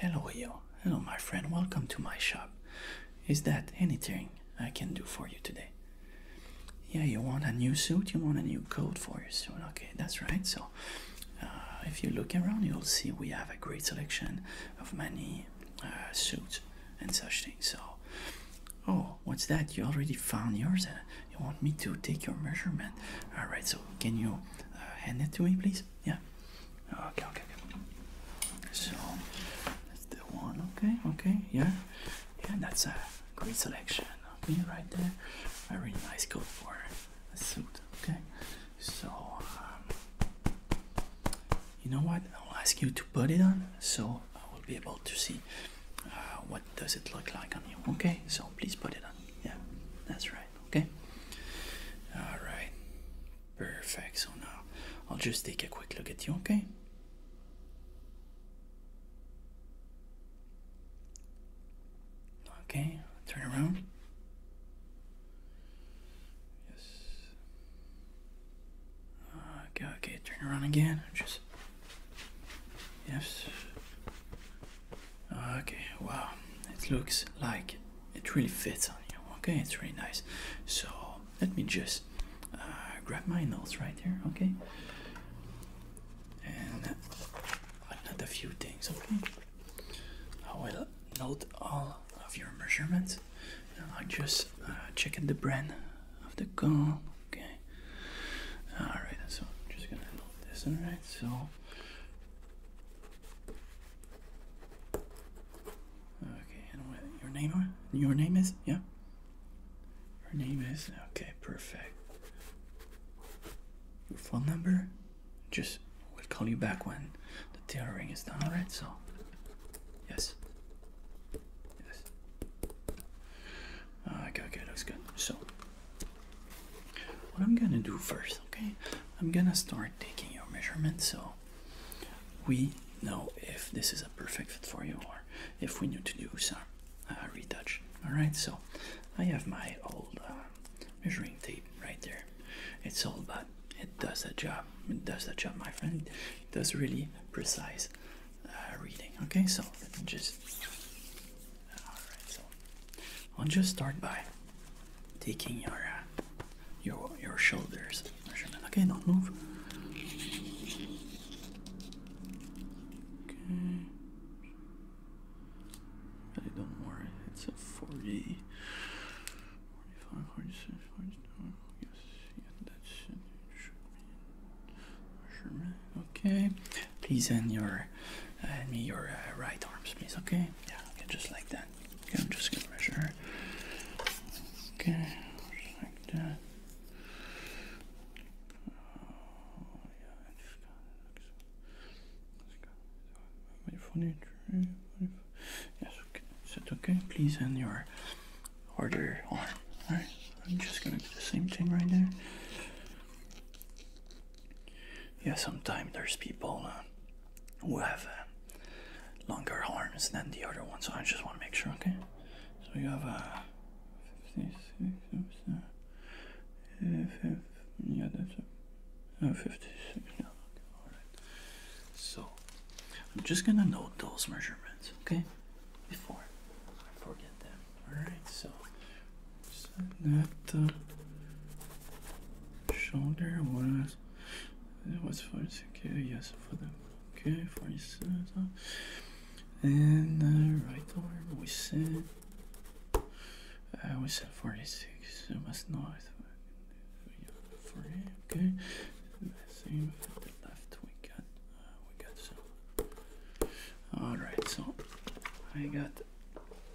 Hello, Io. Hello, my friend. Welcome to my shop. Is that anything I can do for you today? Yeah, you want a new suit? You want a new coat for your suit? Okay, that's right. So, uh, if you look around, you'll see we have a great selection of many uh, suits and such things. So, oh, what's that? You already found yours? you want me to take your measurement? All right. So, can you uh, hand it to me, please? Yeah. Oh, okay, okay, So that's the one. Okay, okay, yeah. Yeah, that's a great selection. Me, right there. A really nice coat for a suit. Okay. So um, you know what? I'll ask you to put it on so I will be able to see uh, what does it look like on you. Okay, so please put it on. Yeah, that's right. Okay. All right. Perfect. So now I'll just take a quick look at you. Okay. Okay. Turn around. Yes. Okay. Okay. Turn around again. Just. Yes. Okay. Wow. It looks like it really fits on you okay it's really nice so let me just uh, grab my notes right here okay and I'll note a few things okay I will note all of your measurements i just uh, check the brand of the gun okay alright so I'm just gonna note this alright so Okay, and what your name Your name is? Yeah. Her name is? Okay, perfect. Your phone number? Just we'll call you back when the tailoring is done, alright? So yes. Yes. Ah, okay, okay, looks good. So what I'm gonna do first Okay, I'm gonna start taking your measurements so we know if this is a perfect fit for you or if we need to do some uh, retouch. All right, so I have my old uh, measuring tape right there. It's old, but it does the job. It does the job, my friend. It does really precise uh, reading. Okay, so let me just. All right, so I'll just start by taking your uh, your your shoulders measurement. Okay, don't move. Okay. don't worry. It's a 40, 45, 46, 47. Yes, yeah, that should, be Okay. Please end your hand uh, me your uh, right arms, please. Okay. Yeah. Okay, just like that. Okay, I'm just going to measure. Okay, like that. Oh, yeah, I just got it. Let's go. Let's go. Yes, okay. Is it okay? Please end your order arm. Alright, I'm just going to do the same thing right there. Yeah, sometimes there's people who have uh, longer arms than the other one. So I just want to make sure, okay? So you have a uh, 56, yeah, that's a, uh, 56. Yeah, all right. So I'm just gonna note those measurements, okay? Before I forget them. All right. So set that uh, shoulder was it was forty six. Yes, for them. Okay, forty six. And right arm we said. Uh, we said 46. It was not it. Okay. Same for the left. We got. Uh, we got some. All right. So I got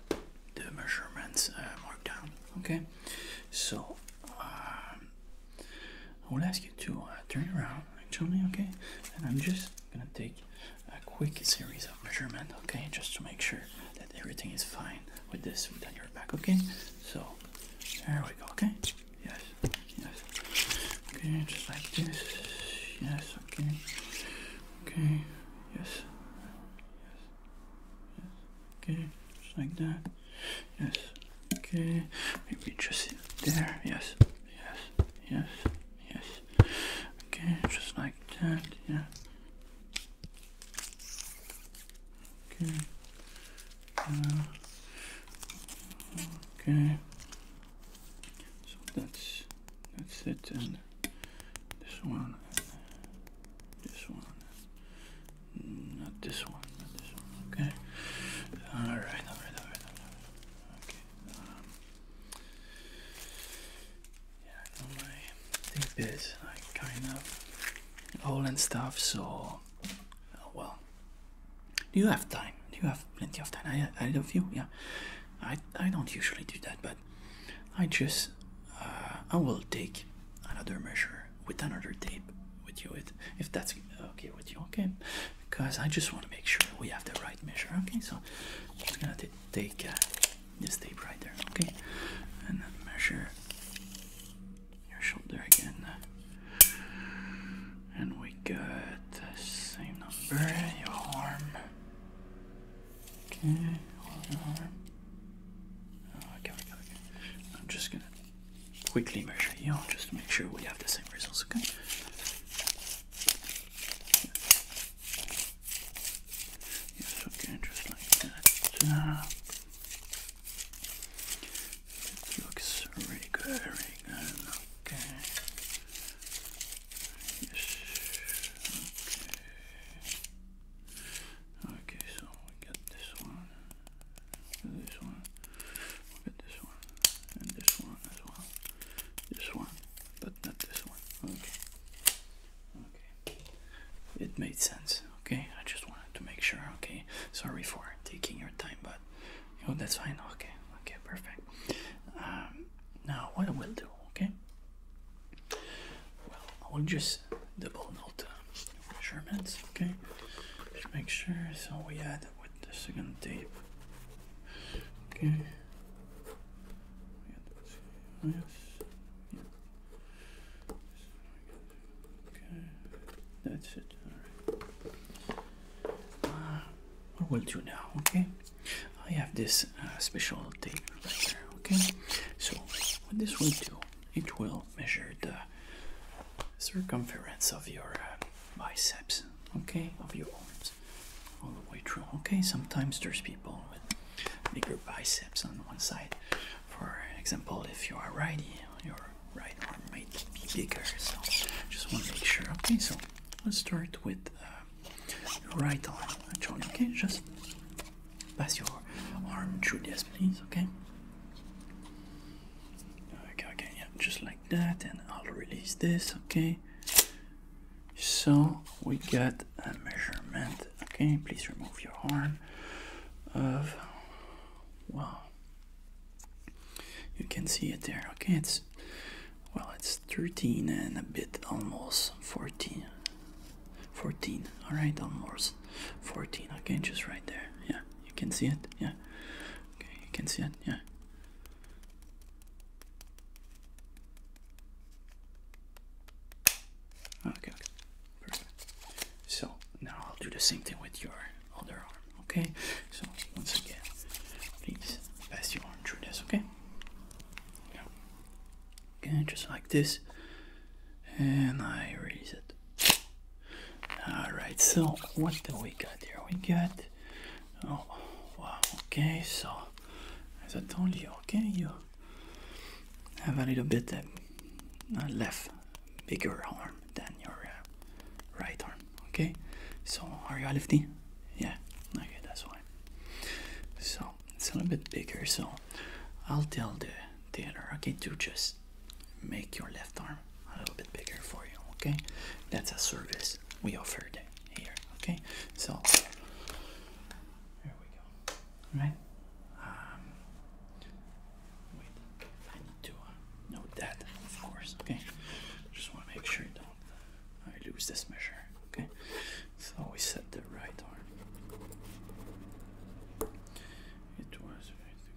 the measurements uh, marked down. Okay. So, um, I will ask you to uh, turn around, actually, okay? And I'm just gonna take a quick series of measurement, okay? Just to make sure that everything is fine with this foot on your back, okay? So, there we go, okay? Yes, yes. Okay, just like this. Yes, okay. Okay, yes. Yes. Okay, just like that. Yes. Okay. Maybe just there. Yes. Yes. Yes. Yes. Okay, just like that. Yeah. Okay. Uh, okay. So that's that's it and this one this one not this one, not this one, okay. Alright, alright, alright, alright. Okay. Um, yeah, I know my thing is like kind of old and stuff, so oh, well. Do you have time? Do you have plenty of time? I I love you, yeah. I I don't usually do that, but I just uh, I will take another measure with another tape with you if that's okay with you okay because i just want to make sure we have the right measure okay so i'm gonna take uh, this tape right there okay and measure your shoulder again and we got the same number your arm okay your arm Oh, I'm just gonna quickly measure you just to make sure we have the same results, okay? Yes, okay, just like that. it looks really good, Okay. Okay, so we get this one, this one, we get this one, and this one as well. This one, but not this one. Okay. Okay. It made sense. Okay, I just wanted to make sure. Okay, sorry for taking your time, but oh, that's fine. Okay, okay, perfect. Um, now what we'll do, okay? Well, I will just double note the uh, measurements, okay? Just make sure. So we add with the second tape, okay? Yes. Yeah. Okay. That's it. All right. what uh, we'll do now, okay? I have this uh, special tape right here, okay? So what this will do, it will measure the uh, circumference of your uh, biceps, okay, of your arms, all the way through. Okay, sometimes there's people with bigger biceps on one side. For example, if you are righty, your right arm might be bigger. So just want to make sure. Okay, so let's start with uh, your right arm. Actually, okay, just Pass your arm through this, please, okay? Okay, okay, yeah, just like that, and I'll release this, okay? So we get a measurement, okay? Please remove your arm of wow. You can see it there, okay? It's well, it's 13 and a bit almost 14, 14 all right on almost 14 okay just right there yeah you can see it yeah okay you can see it yeah okay, perfect so now i'll do the same thing with your other arm okay so once again please pass your arm through this okay okay just like this and i release it all right, so what do we got here? We got, oh, wow, okay, so as I told you, okay, you have a little bit uh, left, bigger arm than your uh, right arm, okay? So are you a lefty? Yeah, okay, that's why. So it's a little bit bigger, so I'll tell the tailor, okay, to just make your left arm a little bit bigger for you, okay? That's a service we offered here, okay? So, there we go, All right? Um, wait, I need to uh, note that, of course, okay? Just want to make sure don't lose this measure, okay? So we set the right arm. It was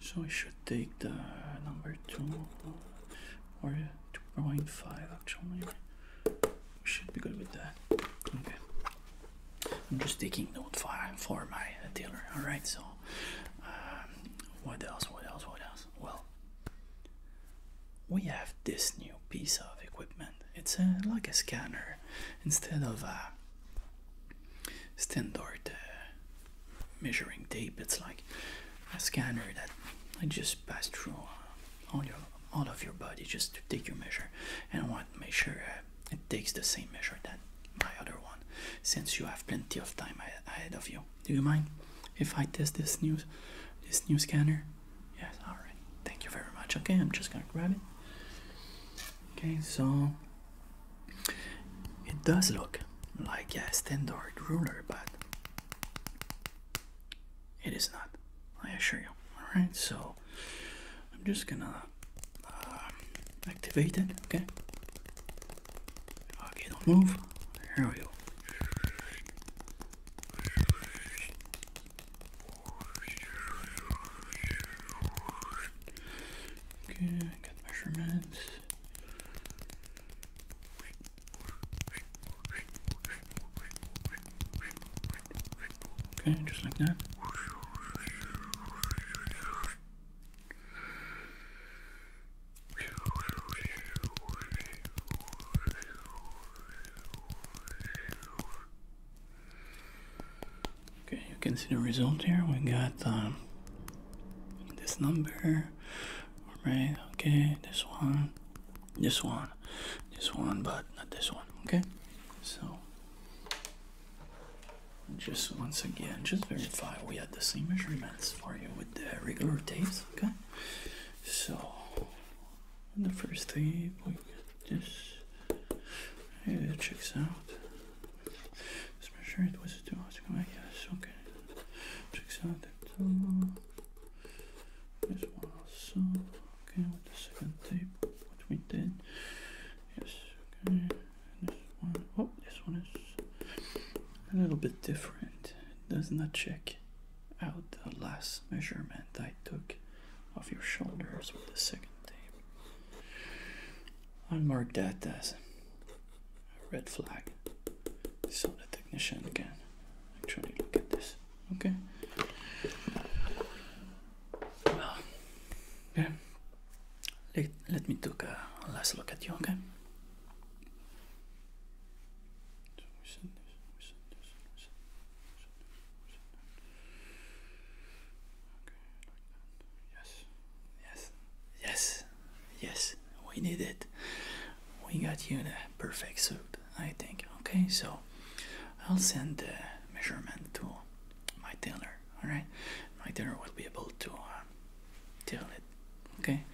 So I should take the number 2 or 2.5 actually. Should be good with that. Okay. I'm just taking note for, for my tailor. Alright, so um, what else? What else? What else? Well, we have this new piece of equipment. It's a, uh, like a scanner instead of a standard uh, measuring tape. It's like a scanner that I just pass through uh, all your all of your body just to take your measure, and I want to make it takes the same measure that my other one. Since you have plenty of time ahead of you, do you mind if I test this new this new scanner? Yes. All right. Thank you very much. Okay, I'm just gonna grab it. Okay, so it does look like a standard ruler, but it is not, I assure you. Alright, so I'm just gonna uh, activate it, okay? Okay, don't move. Here we go. Okay, I measurements. Okay, just like that. Okay, you can see the result here. We got um, this number Alright, okay, this one, this one, this one, but not this one, okay? So, just once again, just verify we had the same measurements for you with the regular tapes, okay? So, the first tape, we just yeah, it checks out. let make sure it was a two. Yes, okay. Check out the toe. This one also. Okay, with the second tape, what we did. Yes, okay. this one. Oh, this one is a little bit different. does not check out the last measurement I took of your shoulders with the second tape. I'll mark that as a red flag. So the technician can actually look at this. Okay. Well, okay. Let, let me take a last look at you, okay? Yes, yes, yes, we need it. We got you in a perfect suit, I think. Okay, so I'll send the measurement to my tailor. All right, my tailor will be able to uh, it. Okay,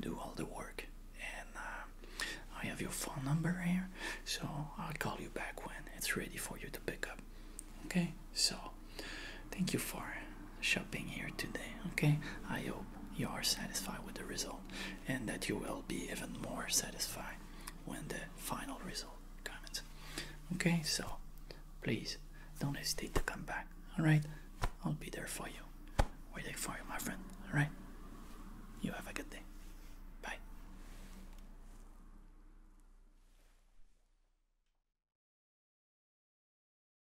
do all the work, and uh, I have your phone number here, so I'll call you back when it's ready for you to pick up. Okay, so thank you for shopping here today. Okay, I hope you are satisfied with the result and that you will be even more satisfied when the final result comes. Okay, so please don't hesitate to come back. All right, I'll be there for you, waiting for you, my friend. All right, you have a good day. Bye.